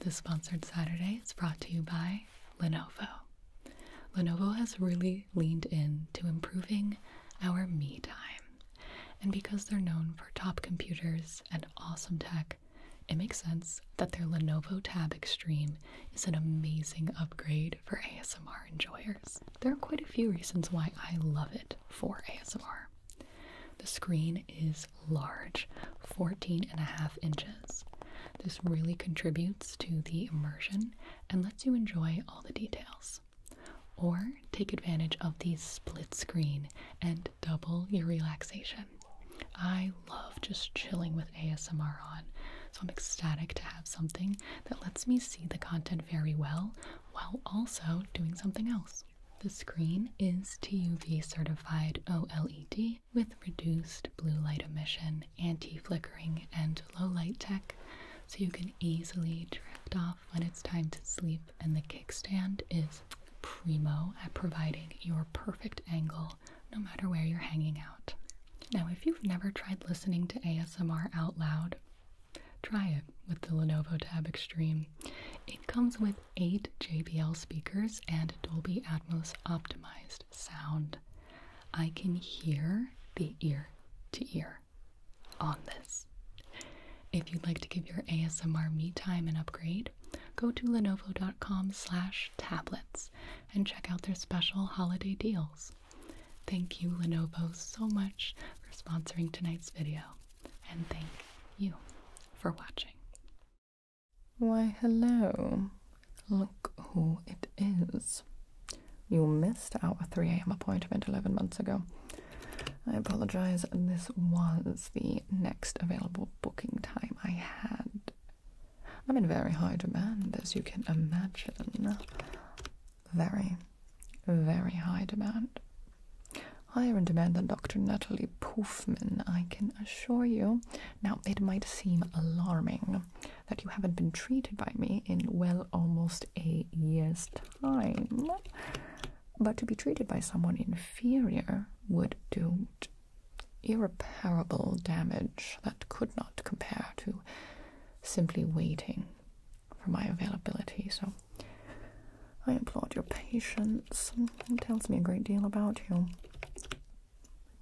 This sponsored Saturday is brought to you by Lenovo. Lenovo has really leaned in to improving our me time. And because they're known for top computers and awesome tech, it makes sense that their Lenovo Tab Extreme is an amazing upgrade for ASMR enjoyers. There are quite a few reasons why I love it for ASMR. The screen is large, 14 and a half inches. This really contributes to the immersion and lets you enjoy all the details. Or take advantage of the split screen and double your relaxation. I love just chilling with ASMR on, so I'm ecstatic to have something that lets me see the content very well while also doing something else. The screen is TUV certified OLED with reduced blue light emission, anti-flickering, and low light tech, so you can easily drift off when it's time to sleep. And the kickstand is primo at providing your perfect angle no matter where you're hanging out. Now, if you've never tried listening to ASMR out loud, try it with the Lenovo Tab Extreme. It comes with eight JBL speakers and Dolby Atmos optimized sound. I can hear the ear to ear on this. If you'd like to give your ASMR me time an upgrade, go to lenovo.com slash tablets and check out their special holiday deals. Thank you, Lenovo, so much for sponsoring tonight's video, and thank you for watching. Why, hello. Look who it is. You missed our 3 a.m. appointment 11 months ago. I apologize, this was the next available booking time I had. I'm in very high demand, as you can imagine. Very, very high demand. Higher in demand than Dr. Natalie Pufman, I can assure you. Now, it might seem alarming that you haven't been treated by me in well almost a year's time, but to be treated by someone inferior would do irreparable damage that could not compare to simply waiting for my availability. So, I applaud your patience. It tells me a great deal about you.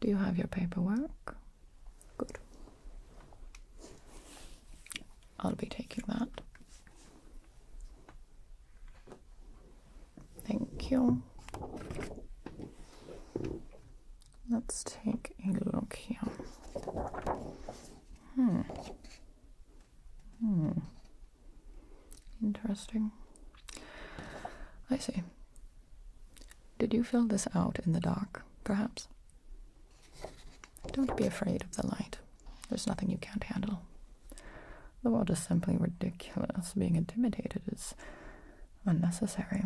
Do you have your paperwork? Good. I'll be taking that. Thank you. Let's take a look here. Hmm. Hmm. Interesting. I see. Did you fill this out in the dark, perhaps? Don't be afraid of the light. There's nothing you can't handle. The world is simply ridiculous. Being intimidated is unnecessary.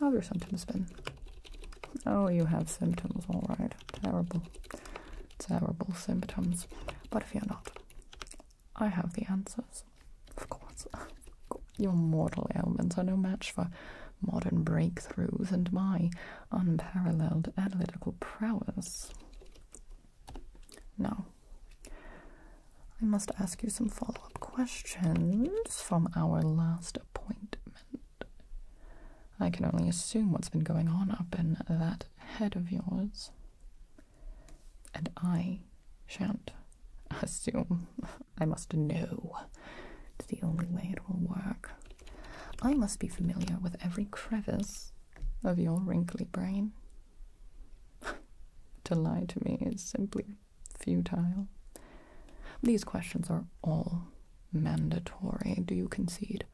How have your symptoms been? Oh, you have symptoms, all right. Terrible, terrible symptoms. But if you're not. I have the answers. Of course. Your mortal ailments are no match for modern breakthroughs and my unparalleled analytical prowess. Now, I must ask you some follow up questions from our last appointment. I can only assume what's been going on up in that head of yours. And I shan't assume. I must know. It's the only way it will work. I must be familiar with every crevice of your wrinkly brain. to lie to me is simply futile. These questions are all mandatory, do you concede?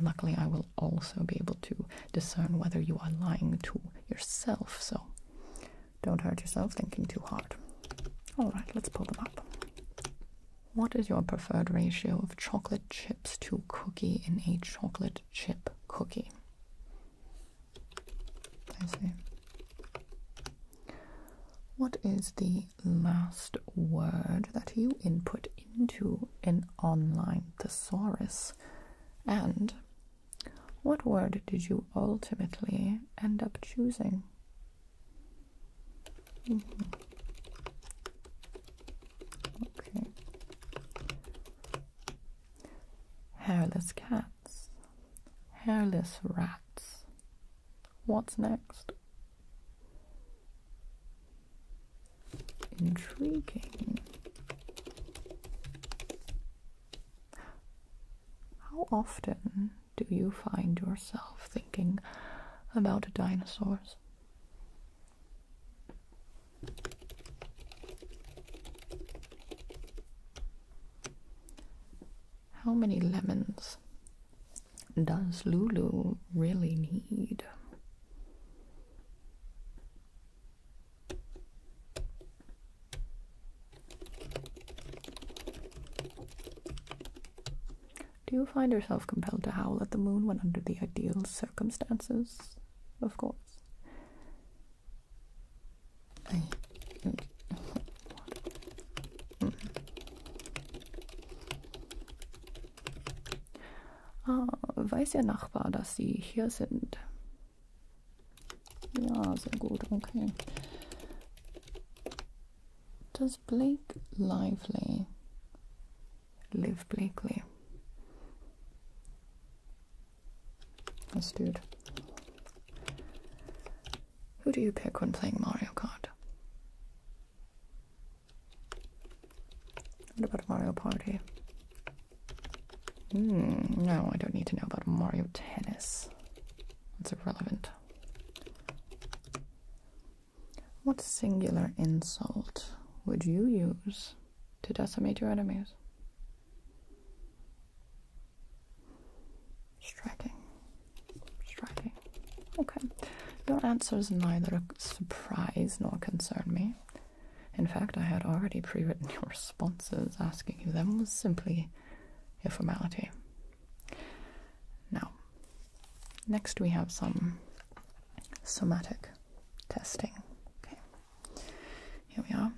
luckily I will also be able to discern whether you are lying to yourself, so don't hurt yourself thinking too hard. Alright, let's pull them up. What is your preferred ratio of chocolate chips to cookie in a chocolate chip cookie? What is the last word that you input into in online thesaurus? And what word did you ultimately end up choosing? Mm-hmm. Okay. Hairless cats, hairless rats. What's next? Intriguing. How often do you find yourself thinking about dinosaurs? How many lemons does Lulu really need? Do you find yourself compelled to howl at the moon when under the ideal circumstances? Of course. Ah, weiß Ihr Nachbar, dass Sie hier sind? Ja, sehr gut, okay. Does Blake lively live Blakely? This dude. Who do you pick when playing Mario Kart? What about Mario Party? Hmm, no, I don't need to know about Mario Tennis. That's irrelevant. What singular insult would you use to decimate your enemies? Striking. Striking. Okay. Okay. Your answers neither surprise nor concern me. In fact, I had already pre written your responses. Asking you them was simply a formality. Now, next we have some somatic testing. Okay. Here we are.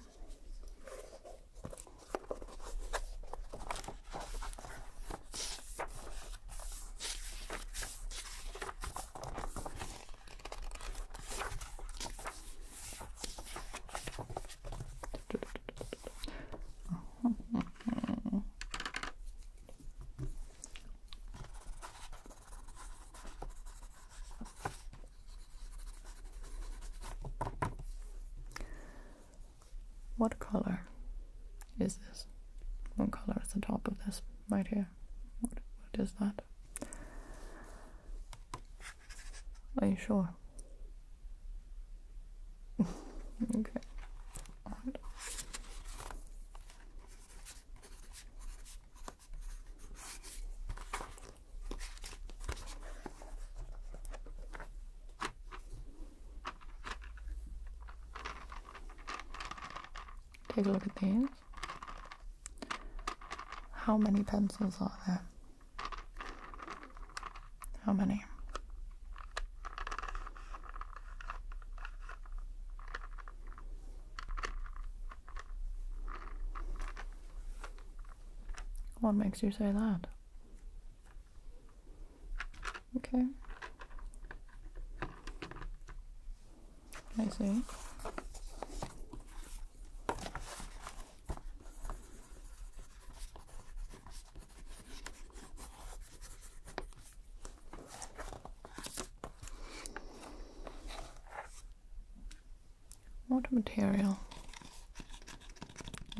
What color is this? what color is the top of this right here? What, what is that? Are you sure? okay. Take a look at these. How many pencils are there? How many? What makes you say that? Okay. I see. What material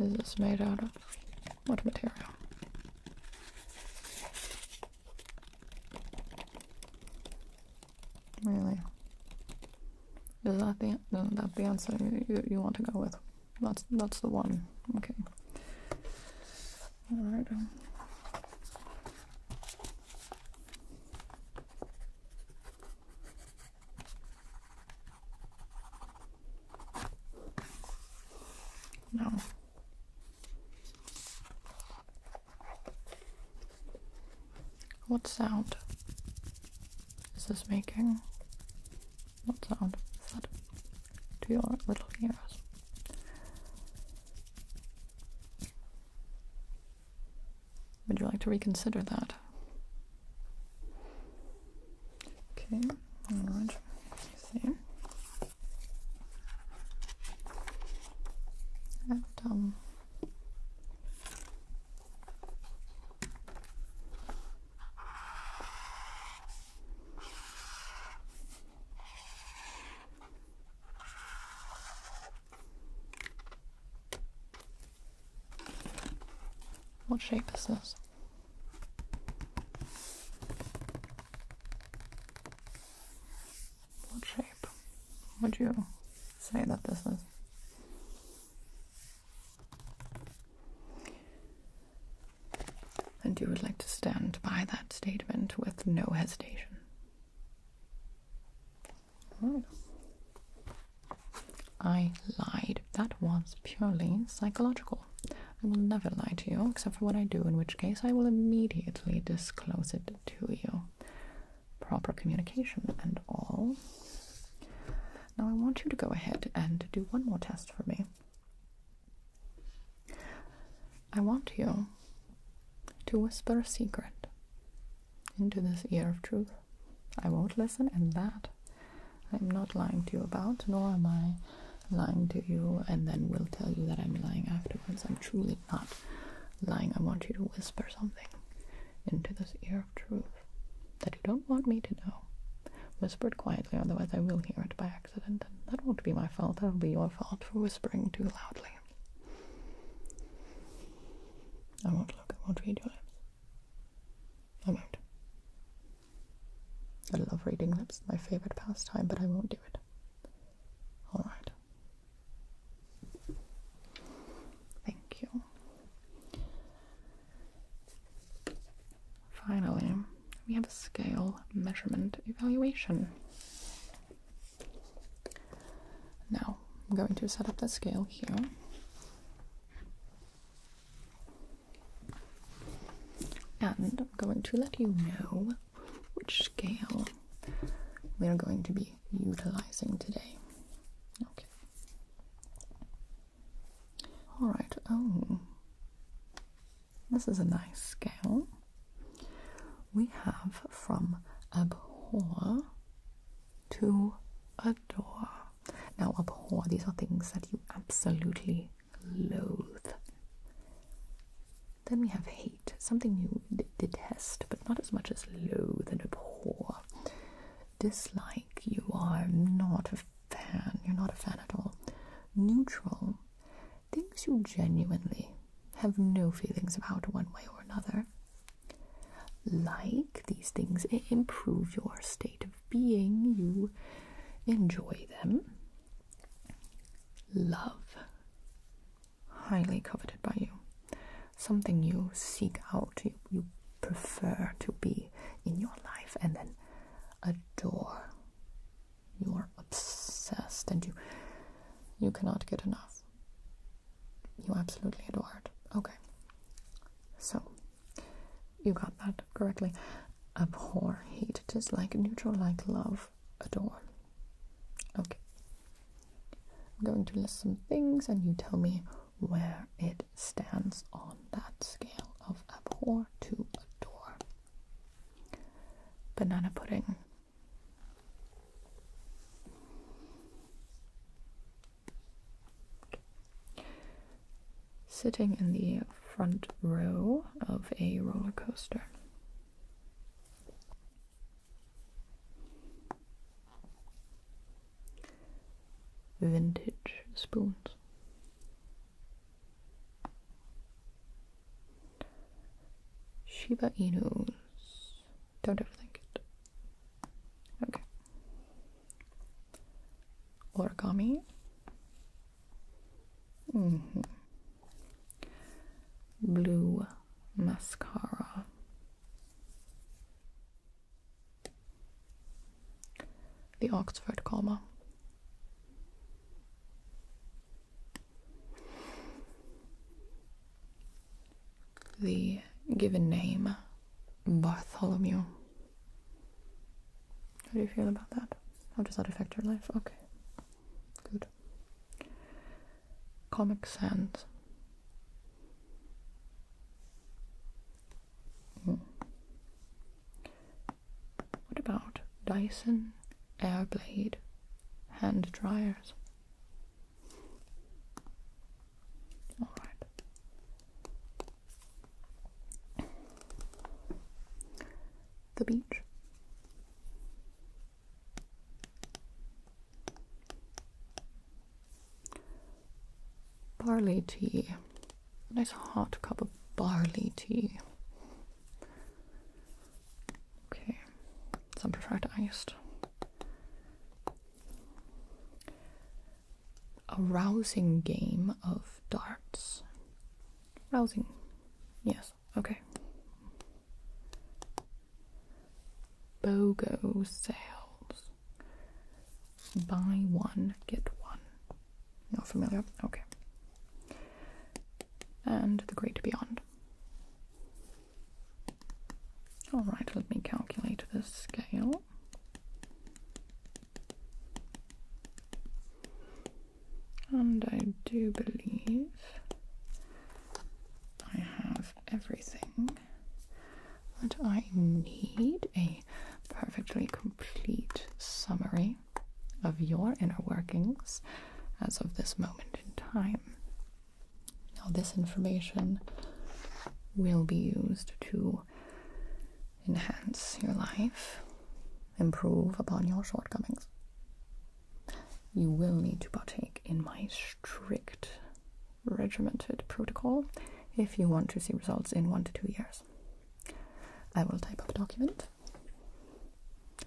is this made out of? What material? Really? Is that the answer you, you, you want to go with? That's that's the one. Okay. All right. Um. No. What sound is this making? What sound is that to your little ears? Would you like to reconsider that? Okay, alright. See. Abdomen. What shape is this? What shape would you say that this is? And you would like to stand by that statement with no hesitation. I lied. That was purely psychological. I will never lie to you, except for what I do, in which case I will immediately disclose it to you. Proper communication and all. Now, I want you to go ahead and do one more test for me. I want you to whisper a secret into this ear of truth. I won't listen, and that I'm not lying to you about, nor am I lying to you and then will tell you that I'm lying afterwards. I'm truly not lying. I want you to whisper something into this ear of truth that you don't want me to know. Whispered quietly, otherwise I will hear it by accident, and that won't be my fault. That'll be your fault for whispering too loudly. I won't look. I won't read your lips. I won't. I love reading lips, my favorite pastime, but I won't do it. All right. Thank you. Finally, we have a scale measurement evaluation. Now, I'm going to set up the scale here. And I'm going to let you know which scale we are going to be utilizing today. Okay. Alright, oh. This is a nice scale. We have from abhor to adore. Now, abhor, these are things that you absolutely Loath. Then we have hate, something you detest, but not as much as loathe and abhor. Dislike, you are not a fan, you're not a fan at all. Neutral, things you genuinely have no feelings about one way or another. Like, these things improve your state of being you enjoy them love highly coveted by you something you seek out you, you prefer to be in your life and then adore you are obsessed and you you cannot get enough you absolutely adore it okay so you got that correctly. Abhor, hate, dislike, neutral, like, love, adore. Okay. I'm going to list some things and you tell me where it stands on that scale of abhor to adore. Banana pudding sitting in the front row of a roller coaster. Vintage spoons. Shiba Inus. Don't overthink it. Okay. Origami. Mm-hmm. Blue mascara. The Oxford comma. The given name Bartholomew. How do you feel about that? How does that affect your life? Okay. Good. Comic Sans. Hmm. What about Dyson Airblade hand dryers? Alright. The beach. Barley tea. nice hot cup of barley tea. Okay. Some prefer it iced a rousing game of darts. Rousing. Yes, okay. BOGO sales. Buy one, get one. Not familiar? Okay. And the Great Beyond. Alright, let me calculate the scale. And I do believe I have everything that I need a perfectly complete summary of your inner workings as of this moment in time. Now, this information will be used to enhance your life, improve upon your shortcomings, you will need to partake in my strict, regimented protocol if you want to see results in one to two years. I will type up a document,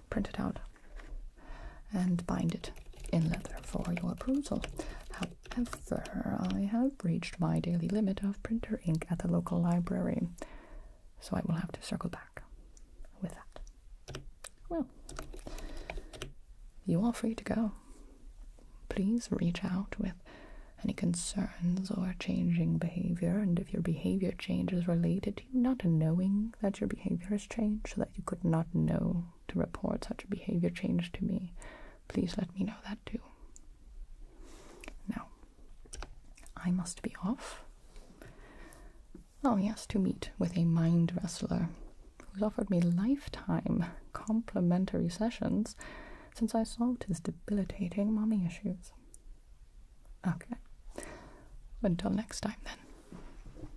print it out, and bind it in leather for your approval. However, I have reached my daily limit of printer ink at the local library, so I will have to circle back with that. Well, you are free to go. Please reach out with any concerns or changing behavior, and if your behavior change is related to not knowing that your behavior has changed, so that you could not know to report such a behavior change to me, please let me know that too. Now, I must be off. Oh, yes, to meet with a mind wrestler who's offered me lifetime complimentary sessions since I solved his debilitating mommy issues. Okay. Until next time, then.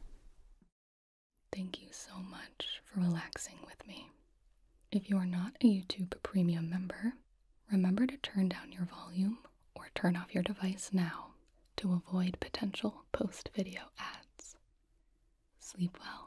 Thank you so much for relaxing with me. If you are not a YouTube Premium member, remember to turn down your volume or turn off your device now to avoid potential post video ads. Sleep well.